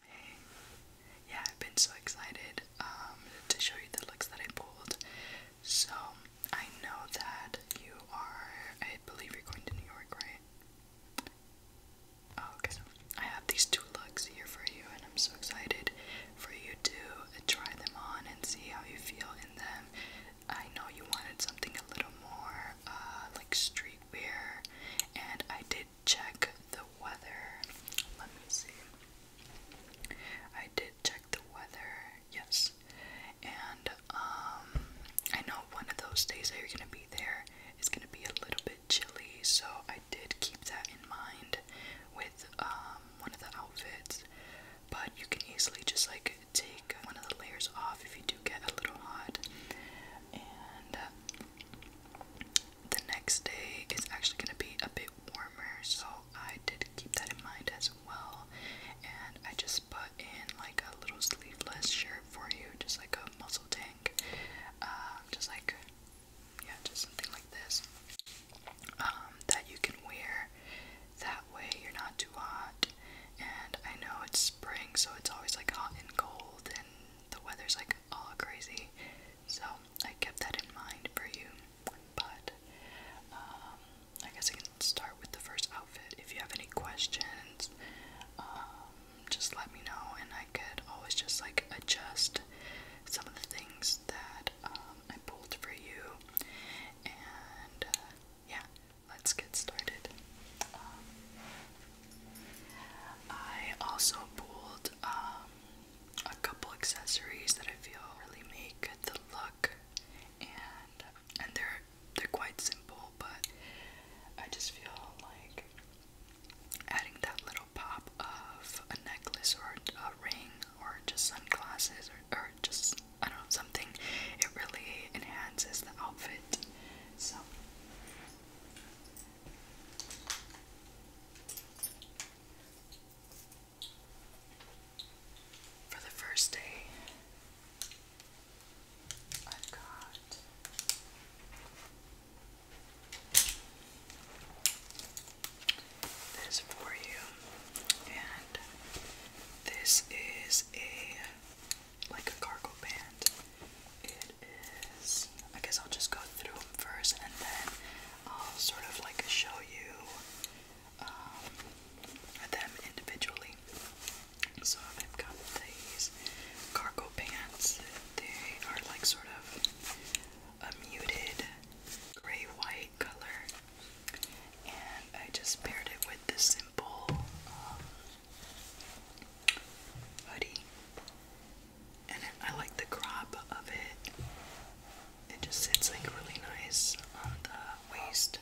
Hey. Yeah, I've been so excited um, to show you the looks that I pulled. So, I know that you are, I believe you're going to New York, right? Oh, okay. So I have these two looks here for you, and I'm so excited for you to try them on and see how you feel in them. I know you wanted something a little more uh, like streetwear, and I did check the weather. Let me see. I did check the weather, yes. And um, I know one of those days that you're gonna be there is gonna be a little bit chilly, so I did keep that in mind with um, one of the outfits. But you can easily just like take one of the layers off if you do get a little hot. And the next day is actually going to be a bit warmer, so I did keep that in mind as well. And I just put in like a little sleeveless shirt for you, just like a muscle tank, um, just like yeah, just something like this um, that you can wear. That way, you're not too hot. And I know it's spring, so it's always like hot and cold, and the weather's like all crazy. So I kept that in mind for you. But um, I guess I can start with the first outfit. If you have any questions, um, just let me know, and I could always just like adjust some of the things that um, I pulled for you. And uh, yeah, let's get started. I also pulled um, a couple accessories that I feel really make the look, and and they're they're quite simple, but I just feel like adding that little pop of a necklace or a ring or just sunglasses or, or just I don't know something. It really enhances the outfit. So for the first day, i got this for you, and this is a like a cargo band is, I guess I'll just go through them first and then I'll sort of like show you um, them individually. So I've got these cargo pants. They are like sort of a muted gray white color, and I just paired it with this simple um, hoodie and I like the crop of it. It just sits like really nice on the waist.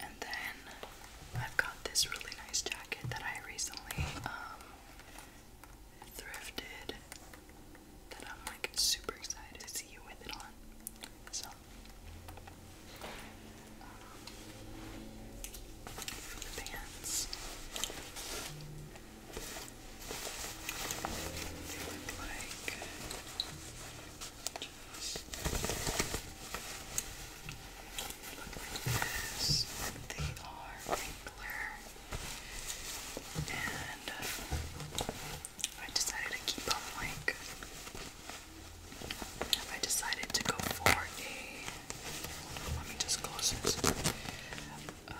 And then I've got this really nice jacket that I recently um, thrifted that I'm like super excited to see you with it on. So, um, pants. They look like They are wrinkler. And uh, I decided to keep them like I decided to go for a let me just close this. Uh,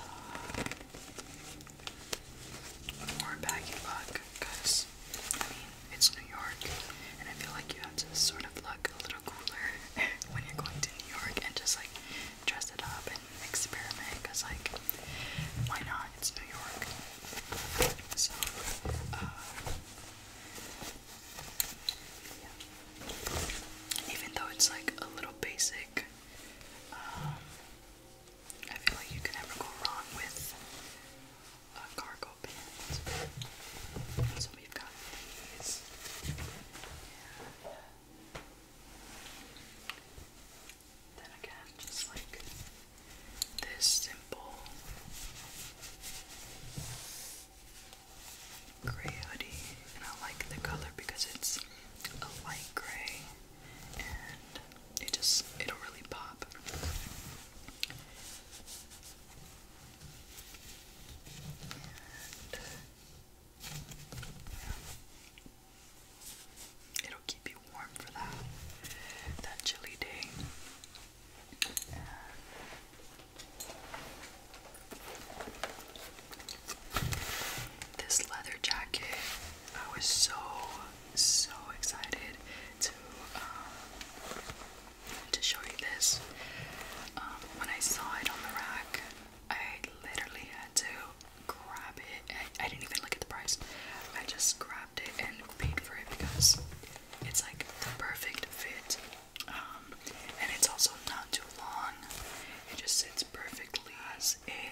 more baggy luck, because I mean it's New York, and I feel like you have to sort of look a little cooler when you're going to New York and just like dress it up and experiment. Cause like, why not? It's New York. So, uh, even though it's like a little basic, um, I feel like you can never go wrong with a cargo pants. So we've got these. then again, just like this simple gray hoodie, and I like the color because it's a light gray, and it just it'll really pop. It'll keep you warm for that that chilly day. This leather jacket, I was so so excited to um, to show you this. Um, when I saw it on the rack, I literally had to grab it. I didn't even look at the price. I just grabbed it and paid for it because it's like the perfect fit um, and it's also not too long. It just sits perfectly as a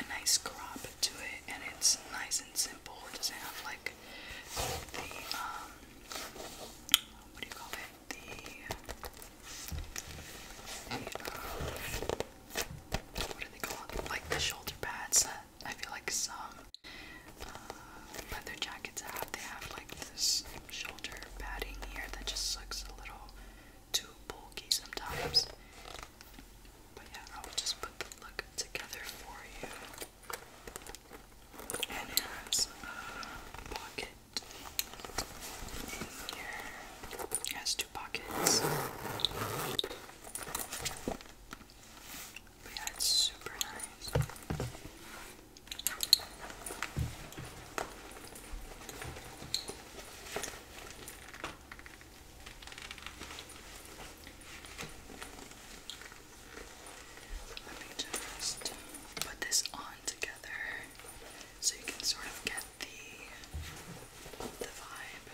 a nice crop to it, and it's nice and simple. It doesn't have like the um, what do you call it? The, uh, what do they call it? Like the shoulder pads I feel like some uh, leather jackets have. They have like this shoulder padding here that just looks a little too bulky sometimes. But yeah, I'll just put the look together for you. And it has a pocket in here. It has two pockets. But yeah, it's super nice. Let me just put this on together so you can sort of get the the vibe.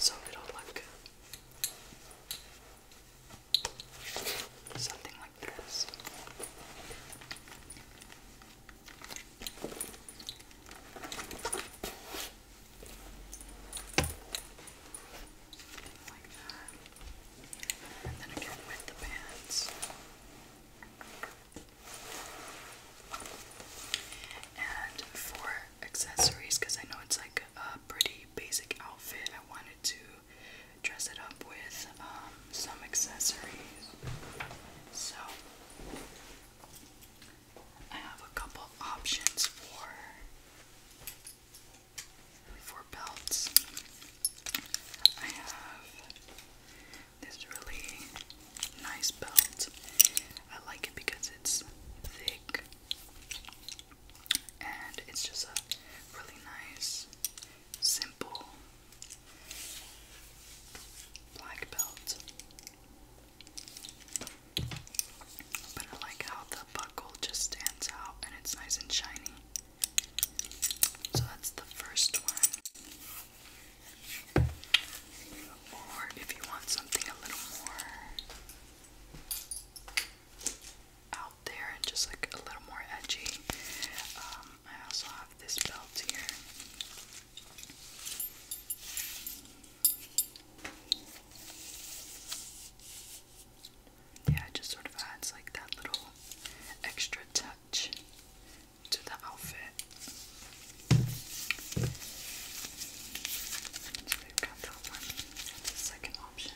So it'll something like this. And then again with the pants. And for accessories, because I know it's like a pretty basic outfit, I wanted to dress it up with um, some accessories. So I have a couple options for for belts. I have this really nice belt. I like it because it's thick and it's just a really nice simple black belt. But I like how the buckle just stands out and it's nice and shiny. So that's the first one. Or if you want something a little more out there and just like a little more edgy, um, I also have this belt here. Yeah, it just sort of adds like that little extra touch to the outfit. So we've got option.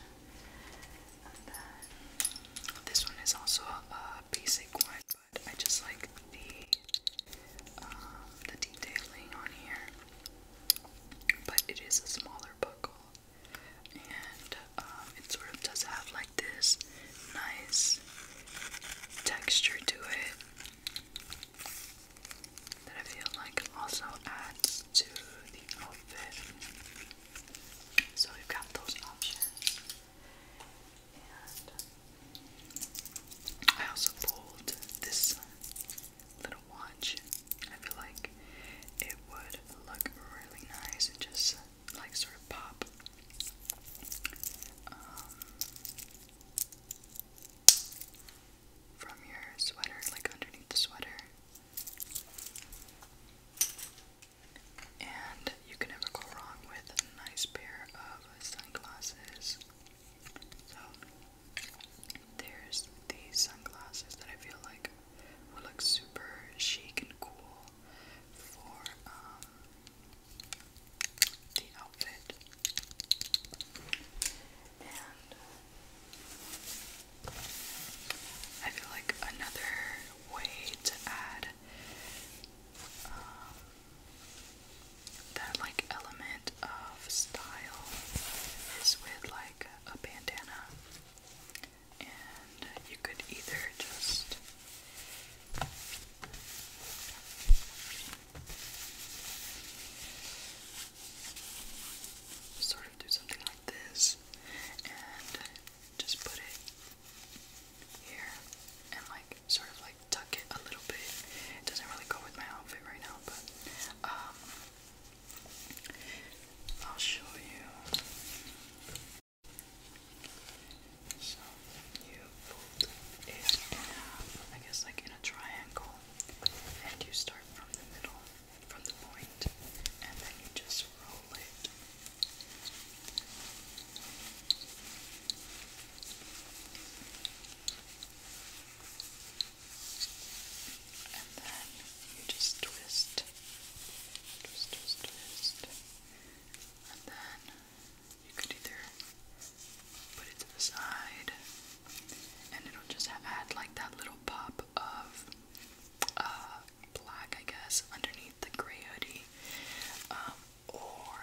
And then this one is also a basic one. I just like the um, the detailing on here. But it is a smaller buckle, and um, it sort of does have like this nice texture to it that I feel like also adds to the outfit. So you've got those options. I also pulled this little watch. I feel like it would look really nice and just like sort of pop. Um, from your sweater, like underneath the sweater. And you can never go wrong with a nice pair of sunglasses. So there's these sunglasses that I feel like will look super chic and cool for um, the outfit. And I feel like another way to add um, that like element of style is with like a bandana, and you could either just sort of do something like this and just put it here and like sort of like tuck it a little bit. It doesn't really go with my outfit right now, but um, I'll show you. So you fold it I guess like in a triangle, and you start from the middle, from the point, and then you just roll it and then you just twist, twist, twist, And then you could either put it to the side and it'll just add like that little pop of uh, black, I guess, underneath the gray hoodie. Um, or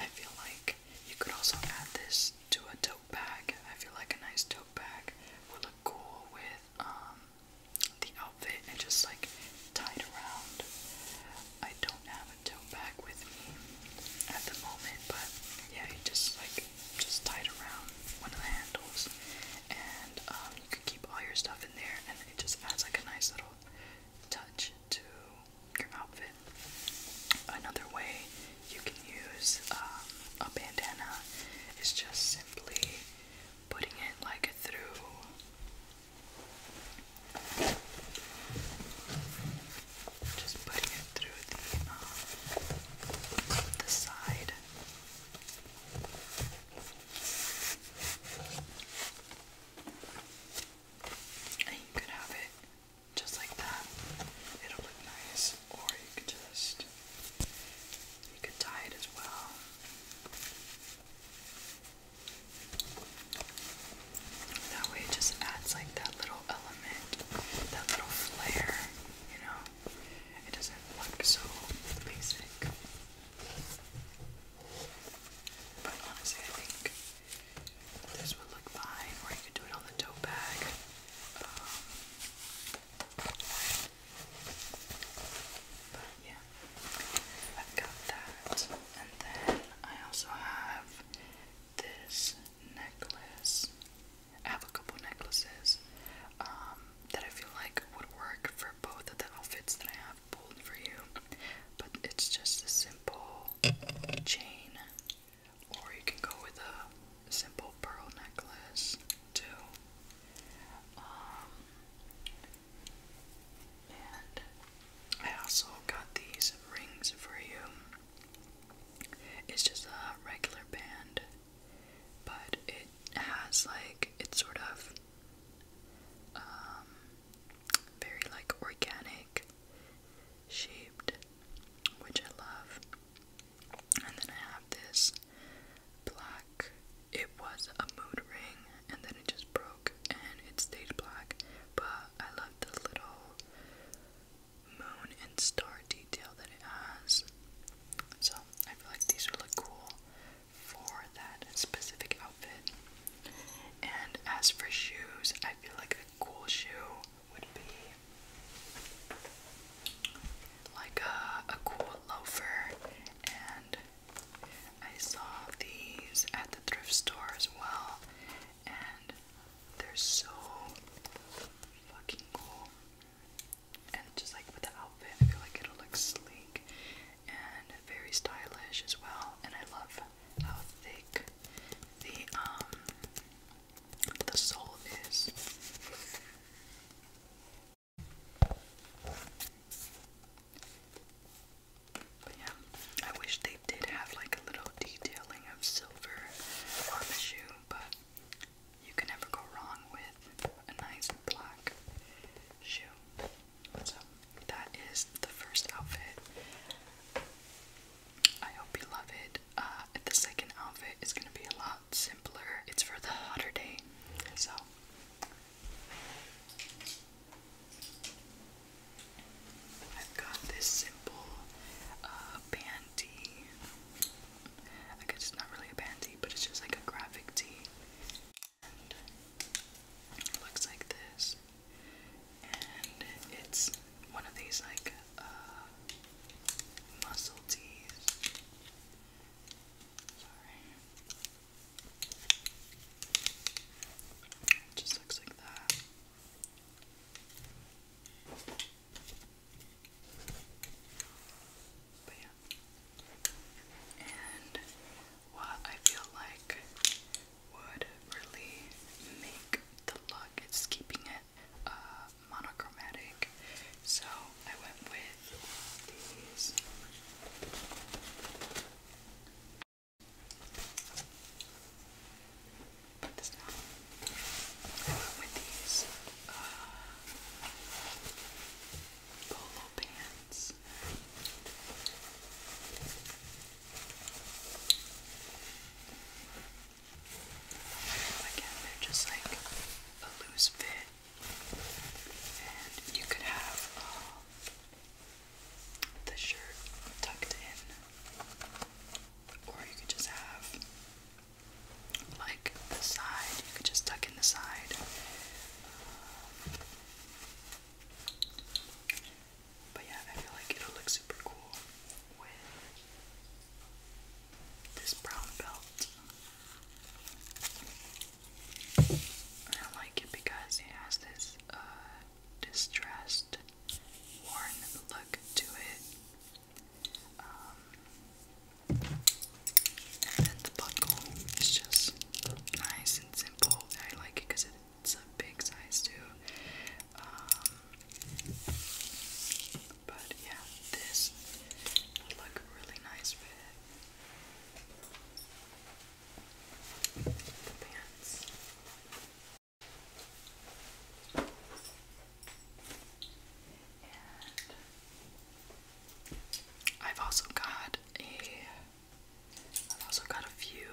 I feel like you could also add this to a tote bag. I feel like a nice tote bag would look cool with um the outfit and just like tied around. I don't have a tote bag with me at the moment, but yeah, you just like just tied around one of the handles, and um, you can keep all your stuff in there, and it just adds like a nice little touch to your outfit. Another way you can use um, a bandana is just simply putting it like through. Just putting it through the um, side. And you could have it just like that. It'll look nice. Or you could just you could tie it as well. That way it just adds like that little element, that little flair, you know? It doesn't look so basic. But honestly, I think this would look fine, or you could do it on the tote bag. Um, but yeah, I've got that. And then I also have this necklace. I have a couple necklaces um, that I feel like would work for both of the outfits that I have for you, but it's just a simple chain, or you can go with a simple pearl necklace too. Um, and I also got these rings for you. It's just a regular band, but it has like it's sort of um, very like organic shaped, which I love. And then I have this black, it was a mood ring, and then it just broke and it stayed black. But I love the little moon and star detail that it has. So I feel like these would look cool for that specific and as for shoes, I feel like a cool shoe would be like a, a cool loafer. And I saw these at the thrift store as well. And they're so fucking cool. And just like with the outfit, I feel like it'll look sleek and very stylish as well. And I love how thick the um the sole is. But yeah, I wish they did have like a little detailing of silver on the shoe, but you can never go wrong with a nice black shoe. So that is the first outfit. I hope you love it. Uh, the second outfit is gonna be a lot simpler. It's for the hotter day. So. I've got this simple uh, panty. I guess it's not really a panty, but it's just like a graphic tee it looks like this. And it's one of these like uh, muscle tees. Sorry. just looks like that. But yeah. And what I feel like would really make the look. It's keeping it uh, monochromatic. So I went with these. Put this down. I went with these uh, polo pants this. Again, just like a loose fit, and you could have um, the shirt tucked in, or you could just have like the side, you could just tuck in the side. Um, but yeah, I feel like it'll look super cool with this brown belt. I like it because it has this uh, distressed, worn look to it. Um, and then the buckle is just nice and simple. I like it because it it's a big size too. Um, but yeah, this would look really nice with the pants. And I've also got a I've also got a few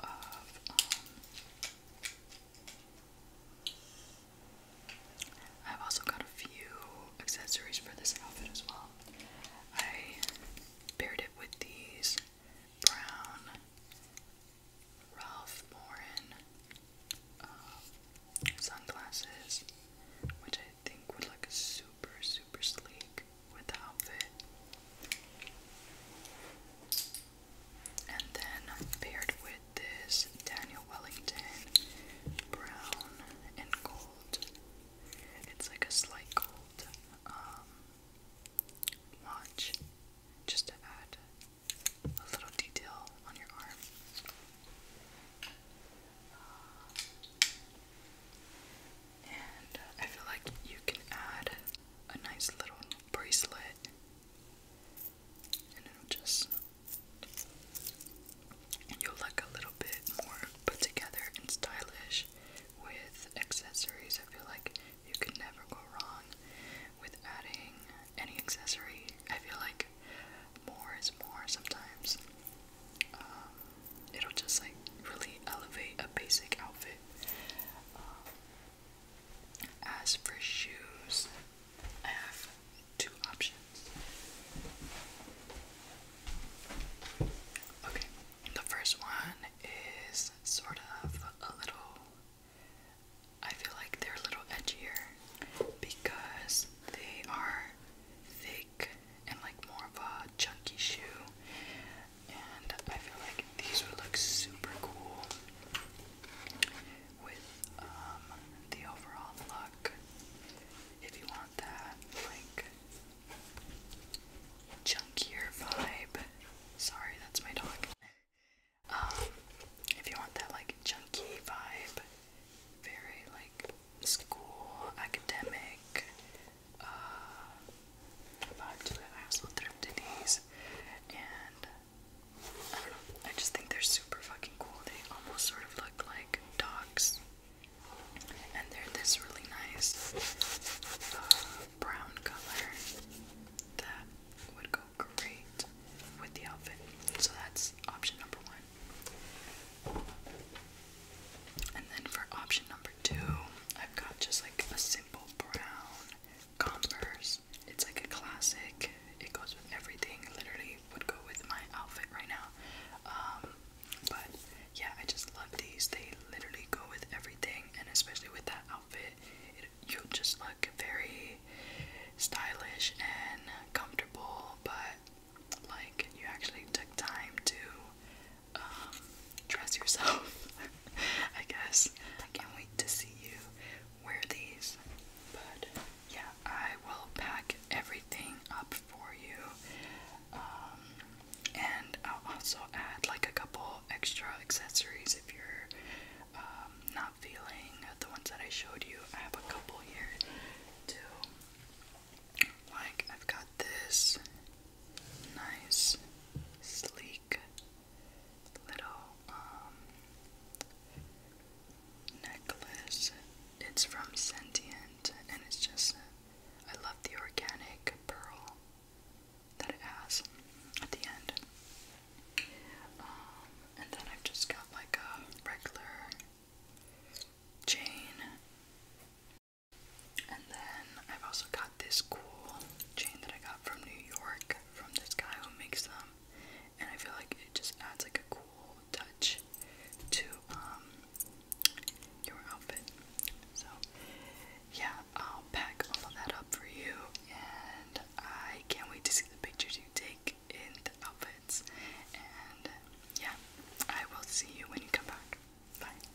um, I've also got a few accessories for this outfit as well. I paired it with these brown Ralph Lauren um, sunglasses, which I think would look super super sleek with the outfit. And then paired with this Daniel Wellington brown and gold. It's like a slight gold um, watch just to add a little detail on your arm. And I feel like you can add a nice little bracelet, and it'll just you'll look a little bit more put together and stylish with accessories. I feel like you can never go wrong with adding any accessory. I feel like more is more sometimes. Um, it'll just like really elevate a basic outfit. Um, as for shoes, I have two options. Okay, the first one is sort of a little, I feel like they're a little edgier because they are thick and like more of a chunky shoe and I feel like these would look super cool with um, the overall look. If you want that, like chunkier vibe. Sorry, that's my dog. Um, if you want that like chunky vibe, very like school academic uh, to it. I also thrifted and I don't know. I just think they're super fucking cool. They almost sort of look like dogs, and they're this really nice uh, brown color that would go great with the outfit. So that's option number one. And then for option number two, I've got just like like a simple brown Converse. It's like a classic. It goes with everything. Literally would go with my outfit right now. Um, but yeah, I just love these. They literally go with everything, and especially with that outfit, you just look very stylish and comfortable. But like, you actually took time to um, dress yourself, I guess. I can't wait to see you wear these. But yeah, I will pack everything up for you. Um, and I'll also add like a couple extra accessories if you're um, not feeling the ones that I showed you. I have a couple here too. Like, I've got this nice, sleek little um, necklace. It's from Sentient, and it's just, I love the organic pearl that it has at the end. Um, and then I've just got like a regular chain and then I've also got this cool chain that I got from New York from this guy who makes them. And I feel like it just adds like a cool touch to um your outfit. So yeah, I'll pack all of that up for you and I can't wait to see the pictures you take in the outfits. And yeah, I will see you when you come back. Bye.